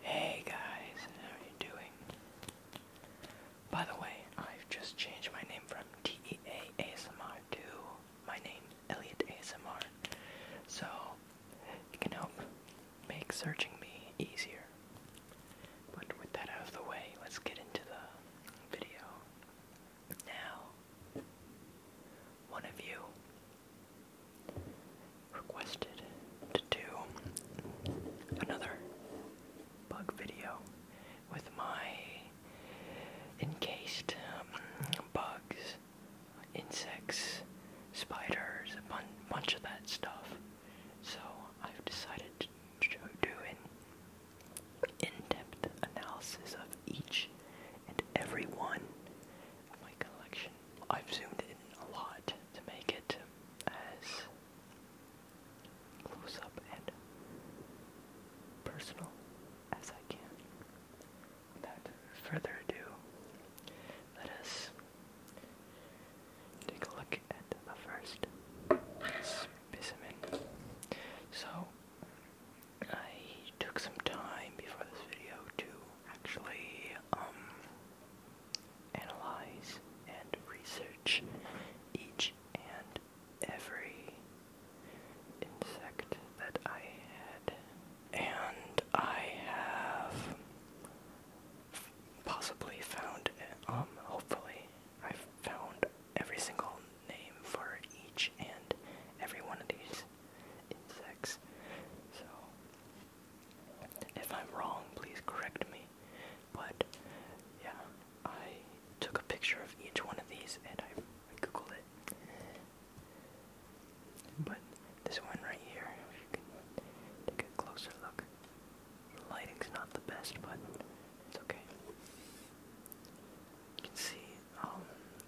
Hey guys, how are you doing? By the way, I've just changed my name from TEA ASMR to my name, Elliot ASMR. So it can help make searching me easier. But with that out of the way, let's get into the video. Now, one of you requested to do another bug video with my encased um, bugs, insects, spiders, a bun bunch of that stuff. So I've decided to do an in-depth analysis of each and every one of my collection. I've zoomed in a lot to make it as close up and personal as I can. Without further ado, let us take a look at the first specimen. So, I took some time before this video to actually um, analyze and research each and every insect that I had. And I have possibly found, um, hopefully, I've found every single name for each and every one of these insects. So, if I'm wrong, please correct me. But, yeah, I took a picture of each one of these and I, I googled it. But this one right here, if you can take a closer look. The lighting's not the best, but it's okay. You can see um,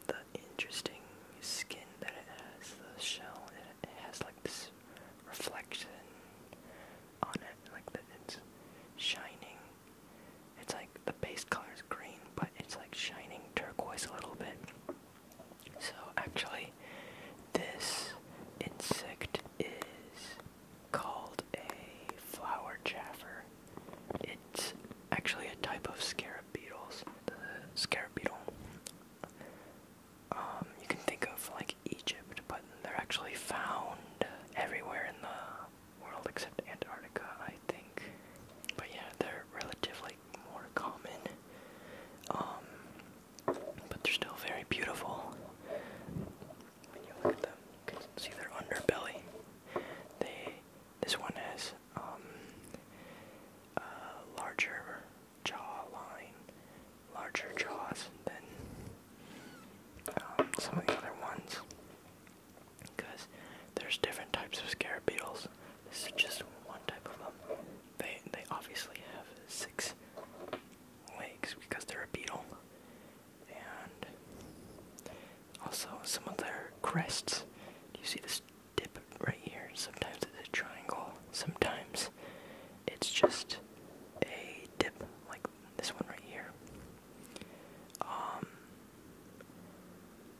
the interesting skin that it has, the shell. it has like this reflection on it, like that it's shining. It's like the base color is green, but it's like shining turquoise a little bit. So actually, this insect is called a flower jaffer. It's actually a type of scarab beetles. The scarab beetle. Um, you can think of like Egypt, but they're actually found everywhere in the world except Antarctica, I think. But yeah, they're relatively more common. Um, but they're still very beautiful. When you look at them, you can see their underbelly. They this one has um, a larger jaw line, larger jaws than um, some of the other ones, because there's different types of scarab beetles. This is just one type of them. They they obviously have six legs because they're a beetle and also some of their crests. Do you see this dip right here? Sometimes it's a triangle, sometimes it's just a dip like this one right here. Um,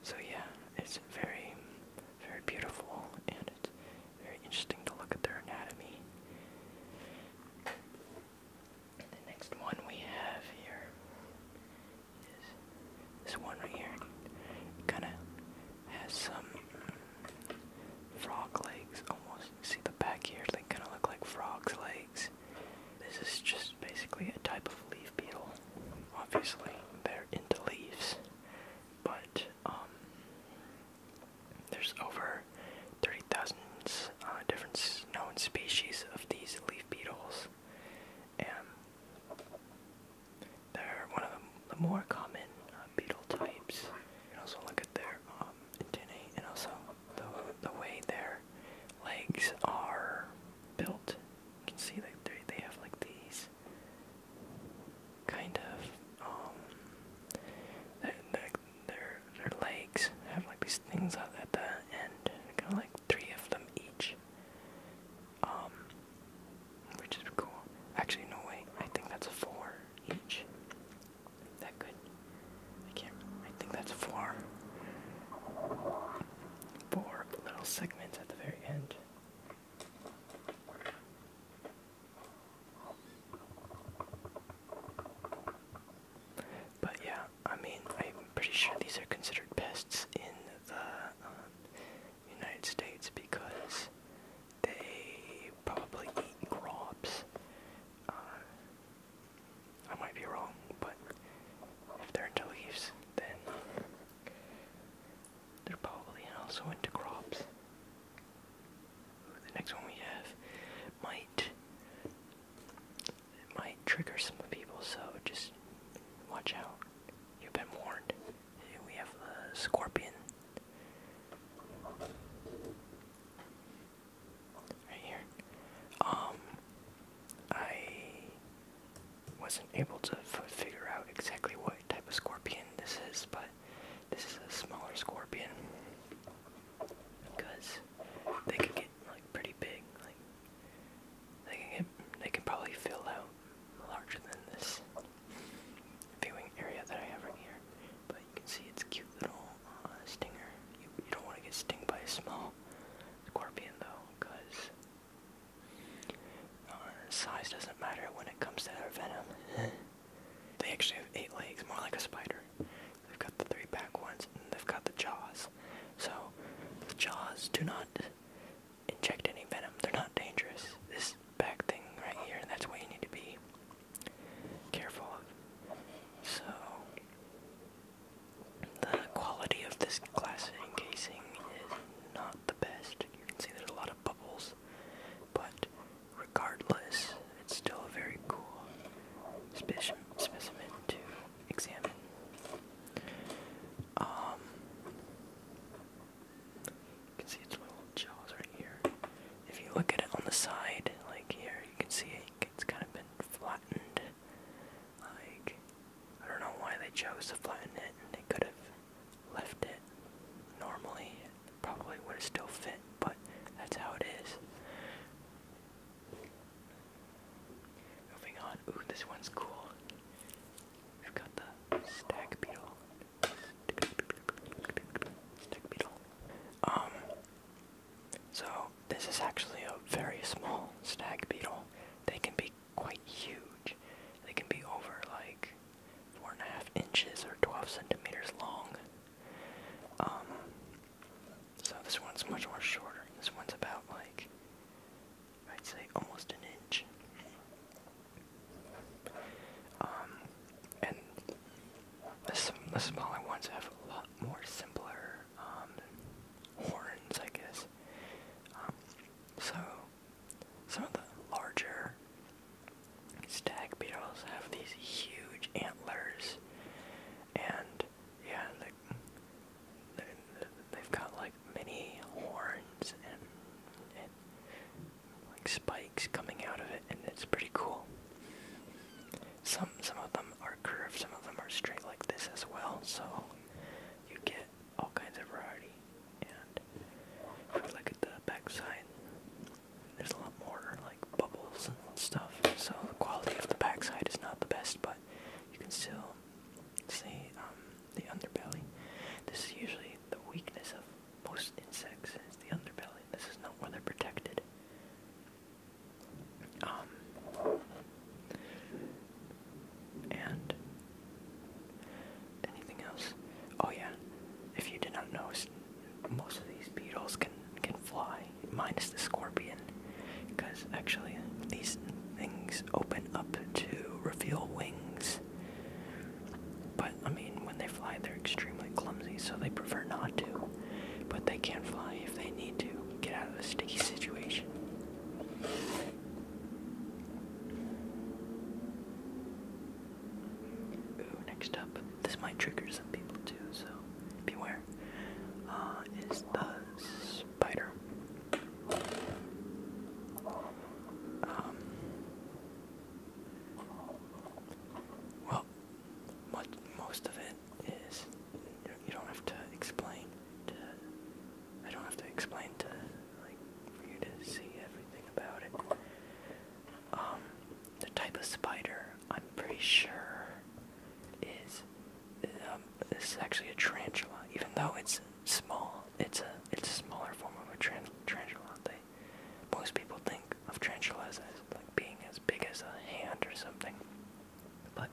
so yeah, it's very, very beautiful, and it's very interesting to look at their anatomy. The next one we have here is this one right here. kind of has some frog legs almost. See the back here? They kind of look like frog's legs. This is just basically a type of leaf beetle. Obviously, they're into leaves, but um, there's over over uh, different known species of these leaf beetles. And they're one of the, more common uh, beetle types. You can also look at their um, antennae and also the, the way their legs are built. You can see that they, they have like these kind of, um, their their legs have like these things at, at the end, kind of like three of them each, um, which is cool. Actually, no way. I think that's four each. that good? I can't. I think that's four. Four little segments at the very end. But yeah, I mean, I'm pretty sure these are considered pests in the um, United States because they probably eat grobs. Uh, I might be wrong, but if they're into leaves, then they're probably also into crops. The next one we have might it might trigger some people, so just watch out. You've been warned. We have a scorpion. Right here. Um, I wasn't able to figure out exactly what type of scorpion this is, but this is a smaller scorpion because they can get like pretty big. Like they can get, they can probably fill out larger than this viewing area that I have right here. But you can see its cute little uh, stinger. You, don't want to get stung by a small scorpion though, because uh, size doesn't matter when it comes to their venom. they actually have eight legs, more like a spider they've got the three back ones, and they've got the jaws. So, the jaws do not inject any venom, they're not dangerous. This back thing right here, that's what you need to be careful of. So, the quality of this glass casing is not the best. You can see there's a lot of bubbles, but regardless, it's still a very cool speci specimen to examine. Um, you can see its little jaws right here. If you look at it on the side, like here, you can see it, it's kind of been flattened. Like, I don't know why they chose to flatten it. They could have left it normally probably would still fit, but that's how it is. Moving on. Ooh, this one's cool. we got the stag beetle. Stag beetle. Um. So this is actually a very small stag beetle. They can be quite huge. They can be over like four and a half inches or 12 centimeters long. Um, so this one's much more shorter. This one's about like, I'd say almost an inch. Um, and the, the smaller ones have a lot more simpler um, horns, I guess. Um, so some of the larger Stag beetles have these huge antlers, and yeah, like they've got like many horns and, and like spikes coming out of it, and it's pretty cool. Some some of them are curved, some of them are straight like this as well. So you get all kinds of variety. And if we look at the back side, there's a lot more like bubbles and stuff, so the quality of the backside is not the best, but you can still see um, the underbelly. This is usually the weakness of most insects is the underbelly. This is not where they're protected. Um, and anything else? Oh yeah, if you did not notice, most of these beetles can can fly, minus the scorpion, because actually these things open up to reveal wings. But I mean, when they fly, they're extremely clumsy, so they prefer not to. But they can fly if they need to get out of a sticky situation. Ooh, next up, this might trigger some people too, so beware. Uh, is the spider. Um, well, what, most of it is, you don't have to explain I don't have to explain to, like, you to see everything about it. Um, the type of spider I'm pretty sure is this um, is actually a tarantula. Even though it's small, it's a it's a smaller form of a tarantula. They, most people think of tarantulas as like being as big as a hand or something, but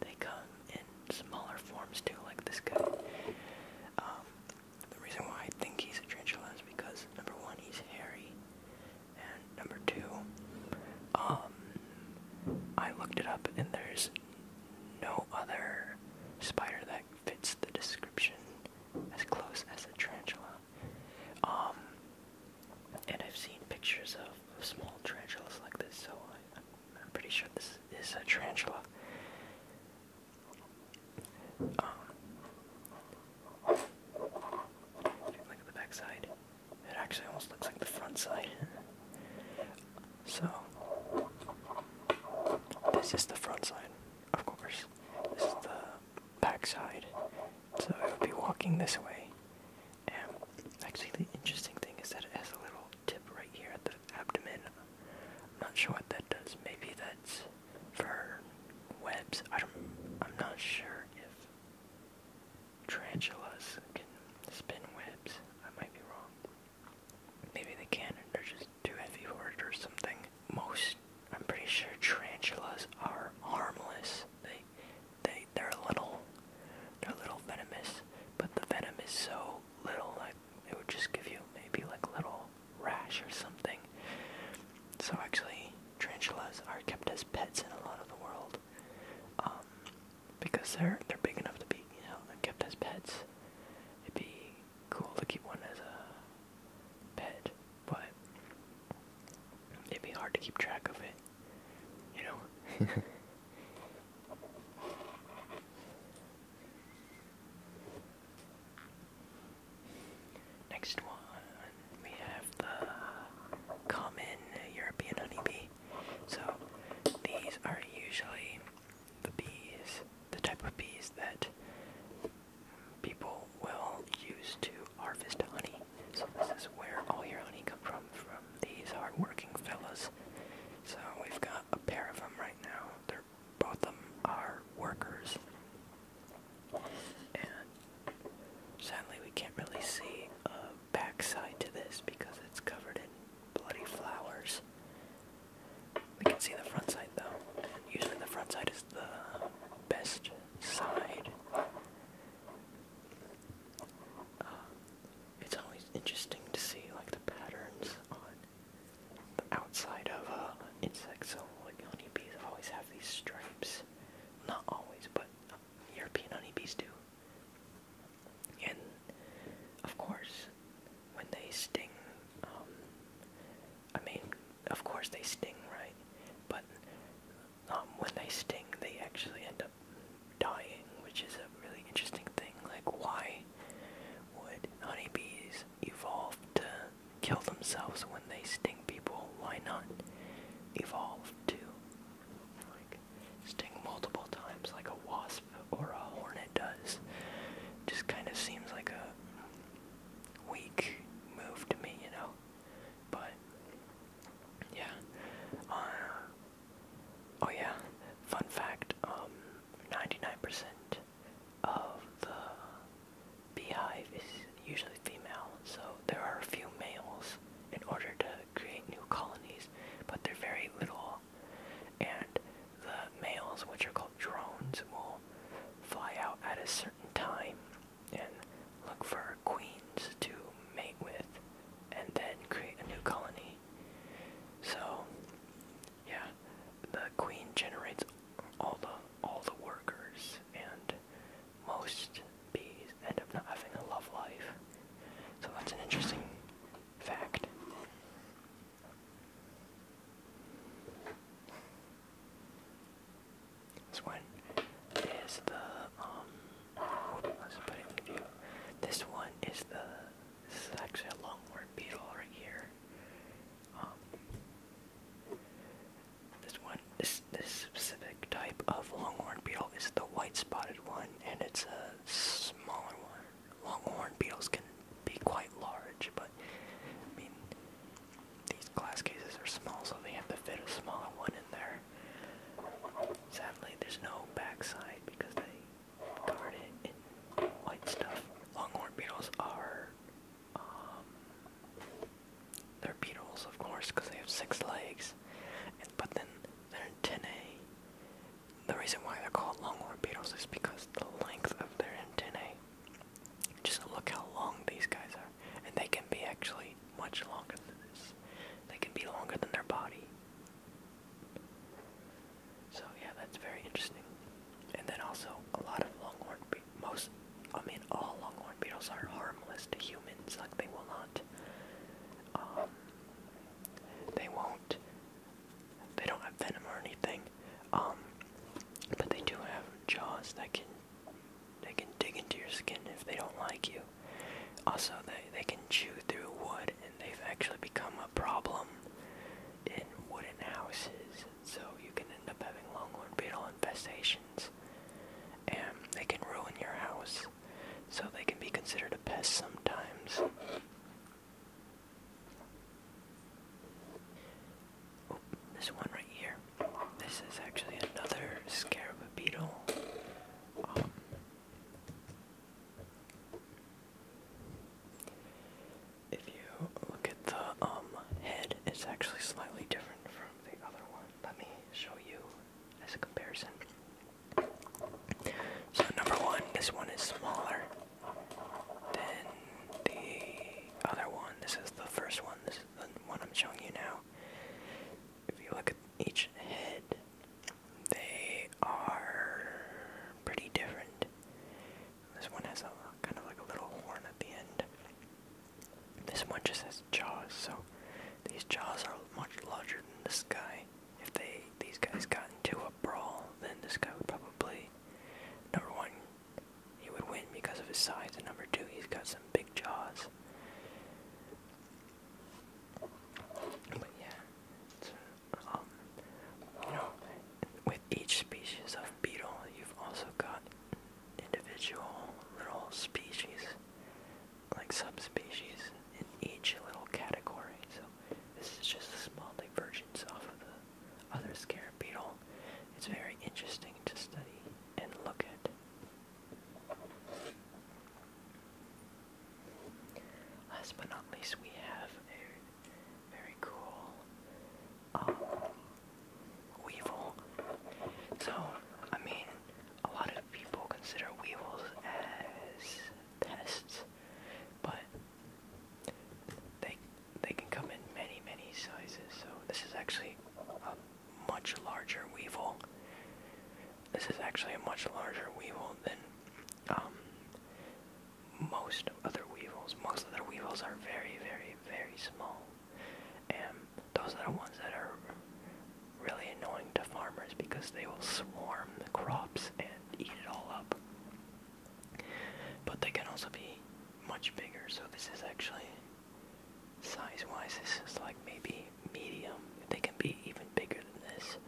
they come in smaller forms too, like this guy. Um, the reason why I think he's a tarantula is because number one, he's hairy number two, um, I looked it up and there's no other spider that fits the description as close as a tarantula. Um, and I've seen pictures of, small tarantulas like this, so I'm pretty sure this is a tarantula look at the back it actually almost looks like the front side. so, this is the front side, of course. This is the back side. So, I would be walking this way. And actually, the interesting thing is that it has a little tip right here at the abdomen. not sure what that does. Maybe that's for webs. I do I'm not sure if tarantulas can spin webs. I might be wrong. Maybe they can, and they're just too heavy for it or something. Most, I'm pretty sure tarantulas are harmless. They, they, they're a little, they're little venomous, but the venom is so little, like it would just give you maybe like little little rash or something. So actually, tarantulas are kept as pets in a lot of the world um, because they're they're big enough to be you know they're kept as pets. It'd be cool to keep one as a pet, but it'd be hard to keep track of it. You know. Next one, we have the common European honeybee. So these are usually the bees, the type of bees that people will use to harvest honey. So this is where all your honey comes from, from these hardworking fellas. So we've got a pair of them right now. They're both of them are workers. And sadly, we can't really see a backside to this because it's covered in bloody flowers. We can see the front side though. And usually, the front side is the best side. Uh, it's always interesting to see like the patterns on the outside of uh, insects, so like honeybees always have these stripes. Not always, but uh, European honeybees do. And of course, when they sting, um, I mean, of course they sting, right? But um, when they sting, they actually end up dying, which is a really interesting thing. Like, why would honeybees Evolve to kill themselves when they sting people, why not evolve to like sting multiple times like a wasp or a hornet does? Just kind of seems like a weak move to me, you know? But yeah. Uh, oh yeah. Fun fact, 99% um, of the beehive is usually female, so there are a few males in order to create new colonies, but they're very little. And the males, which are called drones, will fly out at a certain time and look for queens to mate with and then create a new colony. So yeah, the queen generates all the all the workers, and most bees end up not having a love life. So that's an interesting fact. This one is the um. Let's put it in view. This one is the. This is actually a longhorn beetle right here. Um, this one, this this specific type of longhorn beetle is the white-spotted one, and it's a smaller one. Longhorn beetles can be quite large, but I mean, these glass cases are small, so they have to fit a smaller one in there. Sadly, there's no backside because they covered it in white stuff. Longhorn beetles are um, they're beetles, of course, because they have six legs. And, but then they're antennae. The reason why they're called longhorn beetles is because the length of their antennae. Just look how long these guys are, and they can be actually much longer than this. They can be longer than their body. So yeah, that's very interesting. And then also a lot of longhorn be most I mean all longhorn beetles are harmless to humans. Like they will not um they won't they don't have venom or anything. Um but they do have jaws that can they can dig into your skin if they don't like you. Also, they, they can chew through wood, and they've actually become a problem in wooden houses, so you can end up having longhorn beetle infestations, and they can ruin your house, so they can be considered a pest sometimes. Oh, this one right here. This is actually another scarab beetle. Um, if you look at the um, head, it's actually slightly different from the other one. Let me show you as a comparison. So number one, this one is smaller than the other one. This is the first one. This is the one I'm showing you now. If you look at each head, they are pretty different. This one has a kind of like a little horn at the end. This one just has jaws, so these jaws are much larger than this guy. If they these guys got into a brawl, then this guy would probably number one, he would win because of his size, and number two, he's got some big jaws. But yeah, um, you know, with each species of beetle, you've also got individual little species, like subspecies, in each little category. So this is just a small divergence off of the other scarab beetle. It's very interesting to study and look at. Last but not least, we have very cool. Um, weevil. So, I mean, a lot of people consider weevils as pests, but they they can come in many many sizes. So this is actually a much larger weevil. This is actually a much larger weevil than um, most other weevils. Most other weevils are very, very, very small. And those are the ones that are really annoying to farmers because they will swarm the crops and eat it all up. But they can also be much bigger, so this is actually size wise, this is like maybe medium. They can be even bigger than this.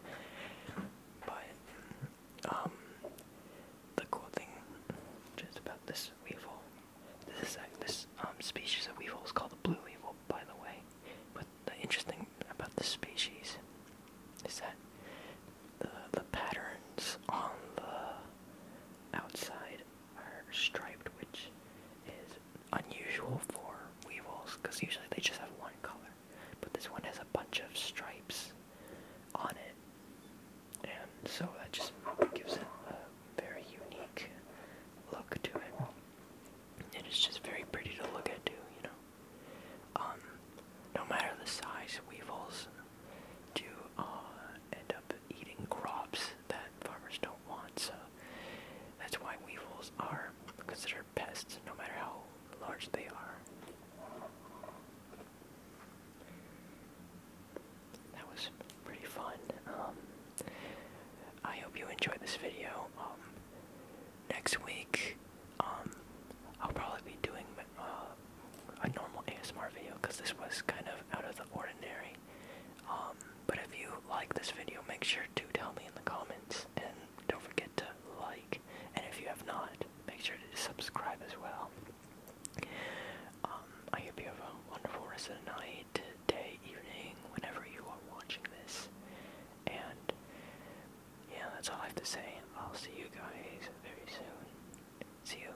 But um, the cool thing just about this weevil, this is, uh, this um, species of weevil is called the blue weevil, by the way. But the interesting about this species is that the the patterns on the outside are striped, which is unusual for weevils because usually they just have one color. But this one has a bunch of stripes on it. And so that just gives it a very unique look to it. And it's just very pretty to look at too, you know. Um, no matter the size, weevils do uh, end up eating crops that farmers don't want. So that's why weevils are considered pests, no matter how large they are. That was pretty fun. Um, I hope you enjoyed this video. Um, next week, um, I'll probably be doing uh, a normal ASMR video because this was kind of out of the ordinary. but if you like this video, make sure to tell me in the comments and don't forget to like and if you have not, make sure to subscribe as well. Um, I hope you have a wonderful rest of night, day, evening, whenever you are watching this. And yeah, that's all I have to say. I'll see you guys very soon. See you.